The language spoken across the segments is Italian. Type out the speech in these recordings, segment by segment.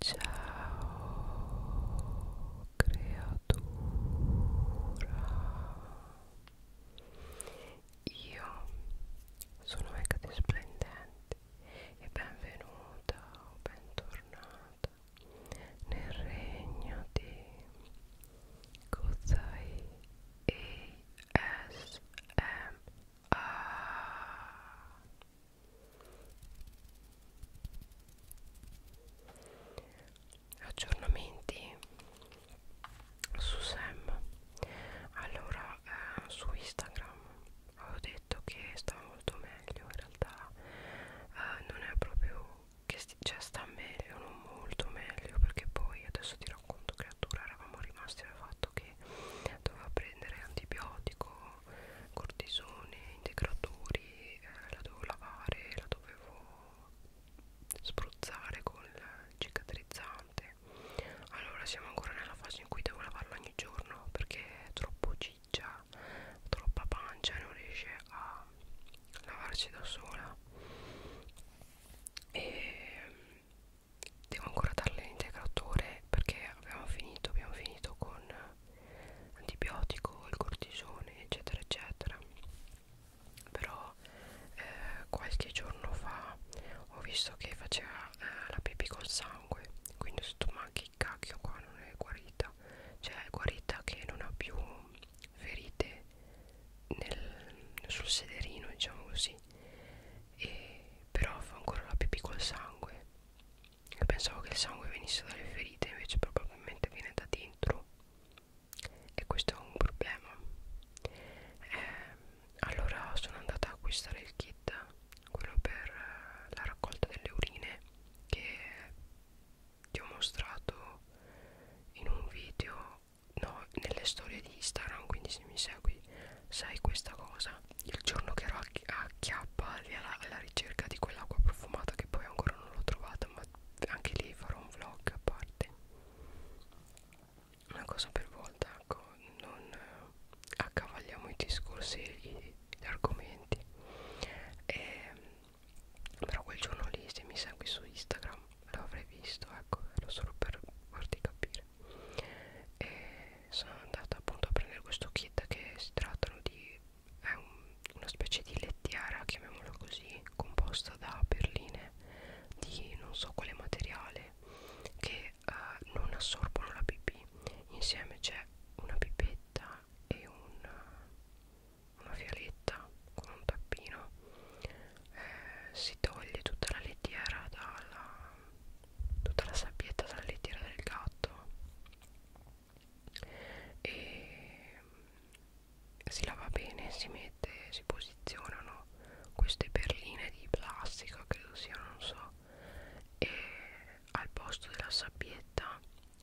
Ciao creatura Io sono Megati Splendente e benvenuta o bentornata nel regno di Kozai ASMR aggiornamenti su Sam allora eh, su Instagram avevo detto che sta molto meglio in realtà eh, non è proprio che cioè, sta meglio non molto meglio perché poi adesso ti racconto creatura eravamo rimasti al fatto che doveva prendere antibiotico cortisone, integratori, eh, la dovevo lavare, la dovevo spruzzare col cicatrizzante. Allora siamo ancora nella fase in cui devo lavarla ogni giorno perché è troppo ciccia, troppa pancia e non riesce a lavarsi da sola. E mm, devo ancora darle l'integratore perché abbiamo finito, abbiamo finito con antibiotico, il cortisone, eccetera, eccetera. Però eh, qualche giorno fa ho visto che faceva eh, la pipì col sangue, quindi ho detto ma che cacchio qua non è guarita, cioè è guarita che non ha più ferite nel, sul sederino, diciamo così. E però fa ancora la pipì col sangue e pensavo che il sangue venisse dalle ferite invece probabilmente viene da dentro e questo è un problema eh, allora sono andata a acquistare il kit quello per eh, la raccolta delle urine che ti ho mostrato in un video no nelle storie di Instagram quindi se mi segui sai questa cosa il giorno che ero a Chiappa alla, alla ricerca di quell'acqua profumata che poi ancora non l'ho trovata ma anche lì farò un vlog a parte una cosa per volta ecco non eh, accavagliamo i discorsi e gli, gli argomenti e, ehm, però quel giorno lì se mi segui su Instagram l'avrei visto ecco era solo per farti capire e ehm, sono andata appunto a prendere questo kit che si trattano di è un, una specie di lettiera chiamiamolo così composta da perline di non so quale materiale che eh, non assorbono la pipì insieme c'è una pipetta e un, una fialetta con un tappino eh, si toglie tutta la lettiera dalla tutta la sabbietta dalla lettiera del gatto e mm, si lava bene si mette si posizionano queste perline di plastica credo siano non so e al posto della sabbietta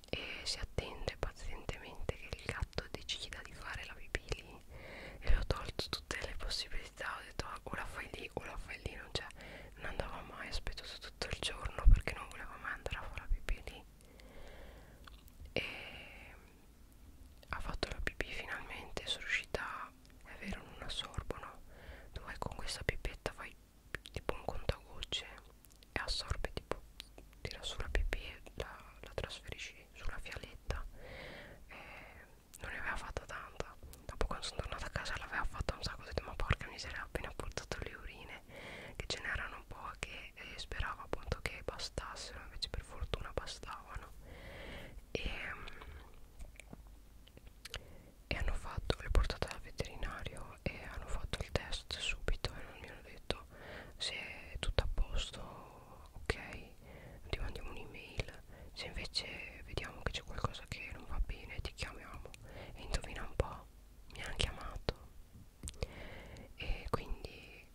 e si attende pazientemente che il gatto decida di fare la pipì lì e l'ho tolto tutte le possibilità ho detto ah, o la fai lì o la fai lì non c'è non andava mai, ho aspettato tutto il giorno perché non voleva mai andare a fare la pipì lì e ha fatto la pipì finalmente, sono riuscita, è vero non assorbono, tu vai con questa pipetta fai tipo un contagocce e assorbe tipo, tira sulla pipì e la, la trasferisci sulla fialetta e non ne aveva fatta tanta Dopo quando sono tornata a casa l'aveva fatta un sacco Ho detto ma porca miseria ho appena portato le urine Che ce n'erano un po' Che eh, speravo appunto che bastassero Invece per fortuna bastavano E, mm, e hanno fatto Le portate al veterinario E hanno fatto il test subito E non mi hanno detto se è tutto a posto Ok ti mandiamo un'email se invece vediamo che c'è qualcosa che non va bene ti chiamiamo e indovina un po' mi hanno chiamato e quindi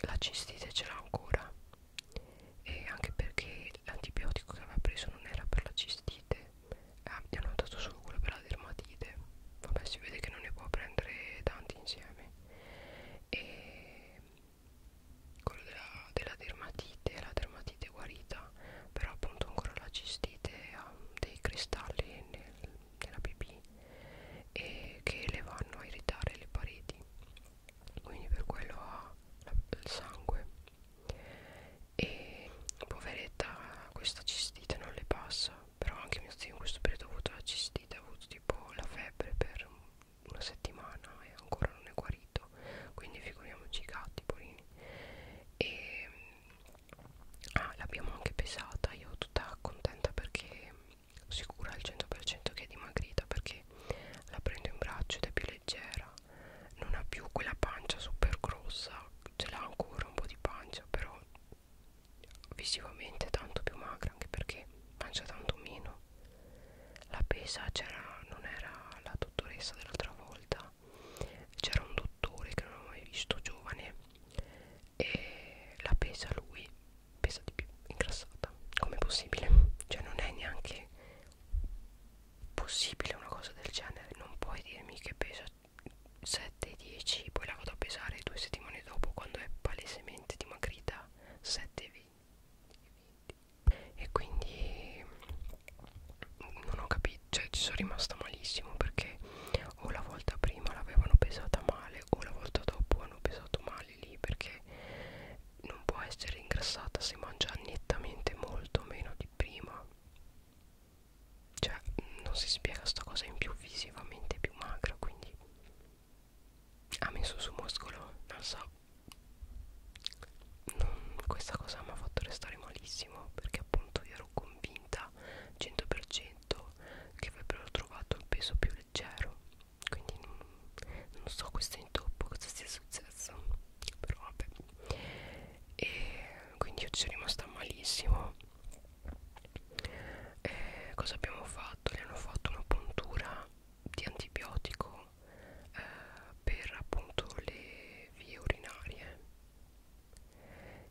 la cistite ce l'ha ancora e anche perché l'antibiotico che aveva preso non era per la cistite ah, gli hanno dato solo quello per la dermatite vabbè si vede che non ne può prendere tanti insieme e quello della, della dermatite dermatite la dermatite è guarita però appunto ancora la cistite ha dei cristalli nel, nella pipì e che le vanno a irritare le pareti quindi per quello ha la, il sangue e poveretta questa cistite non le passa però anche mio zio in questo periodo ha avuto la cistite ha avuto tipo la febbre per una settimana e ancora non è guarito agosto quindi figuriamoci i gatti polini e ah, l'abbiamo anche pesata io tutta contenta perché sicura al 100% che è dimagrita perché la prendo in braccio ed è più leggera non ha più quella pancia super grossa ce l'ha ancora un po' di pancia però visivamente tanto più magra anche perché mangia tanto meno la pesa c'era non era la dottoressa dell'altra volta c'era un dottore che non avevo mai visto giovane e la pesa lui pesa di più ingrassata com'è possibile cioè non è neanche possibile una cosa del genere non puoi dirmi che pesa 7 10 poi la vado a pesare due settimane dopo quando è palesemente dimagrita 7 20, 20 e quindi non ho capito, cioè ci sono rimasta malissimo perché o la volta prima l'avevano pesata male o la volta dopo hanno pesato male lì perché non può essere ingrassata se mangia nettamente molto meno di prima cioè non si spiega sta cosa in più visivamente più magra quindi ha messo su muscolo non so non, questa cosa mi ha fatto restare malissimo perché appunto io ero convinta 100% che avrebbero trovato il peso più leggero quindi non, non so questo intoppo cosa sia successo però vabbè e quindi io ci sono rimasta malissimo e eh, cosa abbiamo fatto? le hanno fatto una puntura di antibiotico uso eh, per appunto le vie urinarie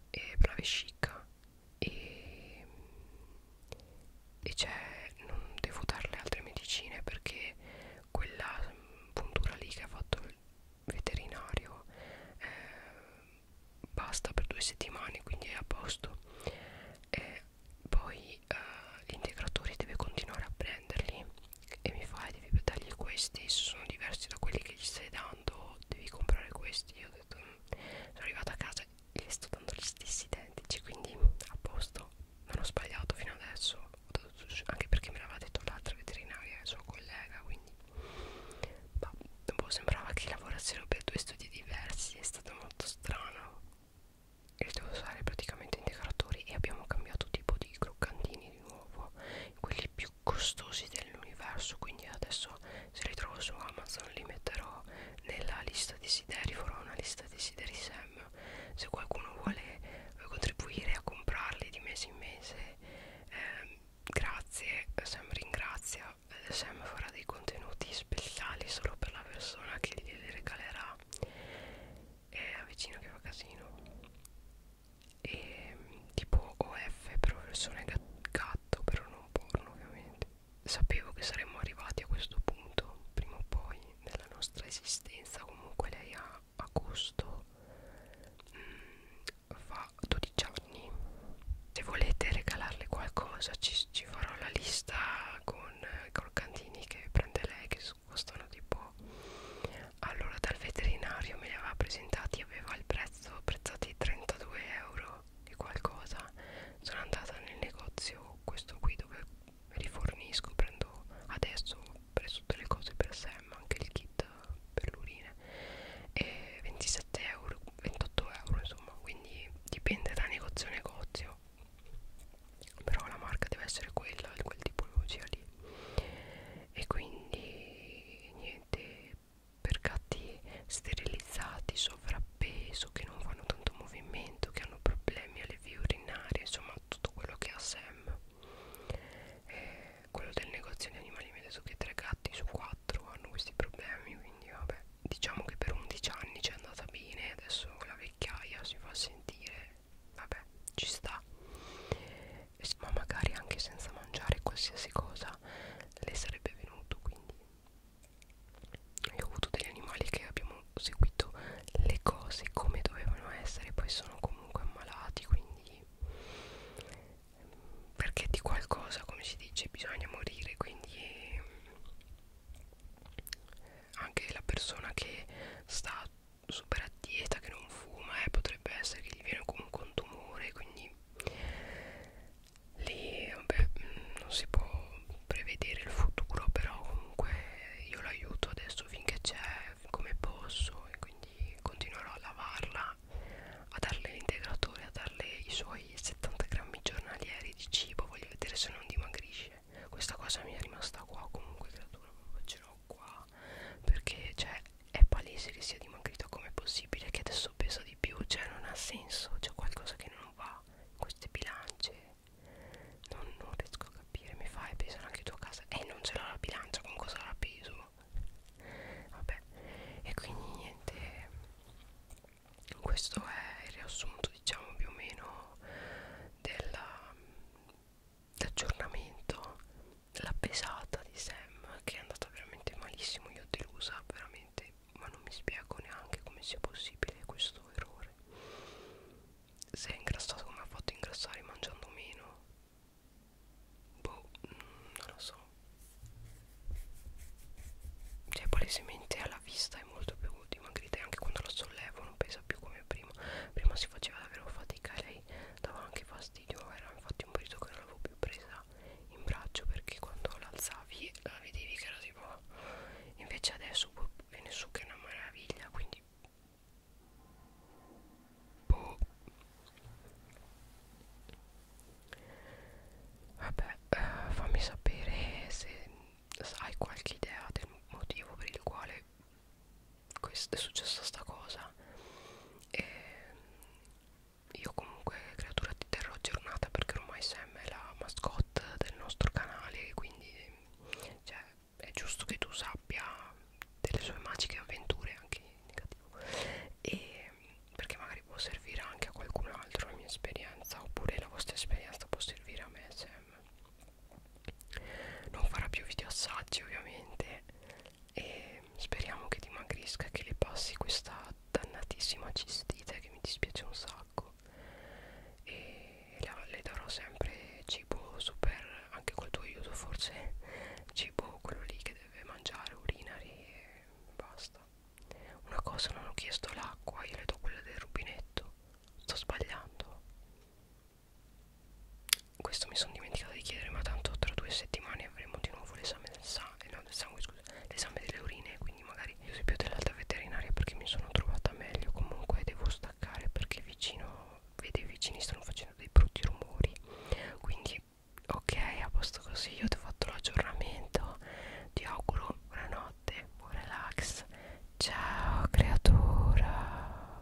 e per la vescica e, mm, e c'è non devo darle altre medicine perché quella mm, puntura lì che ha fatto il veterinario eh, basta per due settimane quindi è a posto e poi eh, l'integratore deve continuare a prenderli e mi fai devi dargli questi se sono diversi da quelli che gli stai dando devi comprare questi io ho detto mm, sono arrivata a casa e gli sto dando gli stessi identici quindi a posto non ho sbagliato fino adesso anche perché me l'aveva detto l'altra veterinaria il suo collega quindi ma boh, sembrava che lavorassero per due studi diversi è stato molto strano e devo usare praticamente integratori e abbiamo cambiato tipo di croccantini di nuovo quelli più costosi dell'universo quindi adesso se li trovo su Amazon li metterò nella lista desideri farò una lista desideri Sam se qualcuno vuole eh, contribuire a comprarli di mese in mese ehm, eh, grazie Sam ringrazia Sam farà dei contenuti speciali solo per la persona che glieli regalerà è a vicino che fa casino e tipo OF però versione gatto però non porno ovviamente sapevo che saremmo arrivati a questo punto prima o poi nella nostra esistenza comunque lei a agosto mh, mm, fa 12 anni se volete regalarle qualcosa ci, ci farò la lista con i eh, croccantini che prende lei che costano tipo allora dal veterinario me li aveva presentati aveva il prezzo prezzati 32 euro e qualcosa sono andata nel negozio questo qui dove rifornisco prendo adesso ho preso tutte le cose per Sam anche il kit per l'urine e 27 euro 28 euro insomma quindi dipende da negozio a negozio però la marca deve essere quella quel tipo di lì e quindi niente per gatti sterilizzati sovrappeso che non fanno tanto movimento che hanno problemi alle vie urinarie insomma tutto quello che ha Sam eh, quello del negozio di animali mi ha detto che 3 gatti su 4 hanno questi problemi quindi vabbè diciamo che per 11 anni c'è andata bene adesso la vecchiaia si fa sentire vabbè ci sta ma magari anche senza mangiare qualsiasi cosa le sarebbe venuto quindi io ho avuto degli animali che abbiamo seguito le cose come dovevano essere poi sono comunque ammalati quindi ehm, perché di qualcosa come si dice bisogna morire quindi anche la persona che sta super a dieta che non fuma eh, potrebbe essere che gli viene comunque un tumore quindi lì vabbè mm, non si può prevedere il futuro però comunque io l'aiuto adesso finché c'è come posso e quindi continuerò a lavarla a darle l'integratore a darle i suoi 70 grammi giornalieri di cibo voglio vedere se non dimagrisce questa cosa mi è rimasta qua comunque creatura proprio ce l'ho qua perché cioè è palese che sia dimagrito come possibile che adesso pesa di più cioè non ha senso c'è qualcosa che non va in queste bilance non, non riesco a capire mi fai pesare anche tu a casa e eh, non ce l'ho la bilancia con cosa la peso vabbè e quindi niente questo è il riassunto diciamo più o meno della l'aggiornamento, la pesata di Sam che è andata veramente malissimo, io ho delusa veramente, ma non mi spiego neanche come sia possibile questo errore. Se è ingrassato come ha fatto ingrassare mangiando meno? Boh, mm, non lo so. Cioè palesemente alla vista è molto più dimagrita e anche quando la sollevo non pesa più come prima. Prima si faceva davvero fatica e lei mi dava anche fastidio era infatti un periodo che non l'avevo più presa in braccio perché quando l'alzavi la vedevi che era tipo invece adesso boh, viene su che è una meraviglia quindi boh. vabbè eh, fammi sapere se hai qualche idea del motivo per il quale questo è successa sta cosa e io comunque creatura ti terrò aggiornata perché ormai Sam è la mascotte del nostro canale quindi cioè, è giusto che tu sappia delle sue magiche avventure anche in negativo e perché magari può servire anche a qualcun altro la mia esperienza oppure la vostra esperienza può servire a me Sam non farà più video assaggi ovviamente e speriamo che dimagrisca e che le passi questa dannatissima cistite che mi dispiace un sacco e la, le darò sempre cibo super anche col tuo aiuto forse cibo quello lì che deve mangiare urinari e basta una cosa non ho chiesto l'acqua io le do quella del rubinetto sto sbagliando questo mi sono dimenticato di chiedere ma tanto tra due settimane avremo di nuovo l'esame del, sa eh, no, del sangue scusa l'esame delle urine quindi magari uso più dell'alta veterinaria perché mi sono trovata meglio comunque devo staccare perché vicino vedi i vicini stanno facendo dei brutti rumori quindi ok a posto così io ti ho fatto l'aggiornamento ti auguro buonanotte buon relax ciao creatura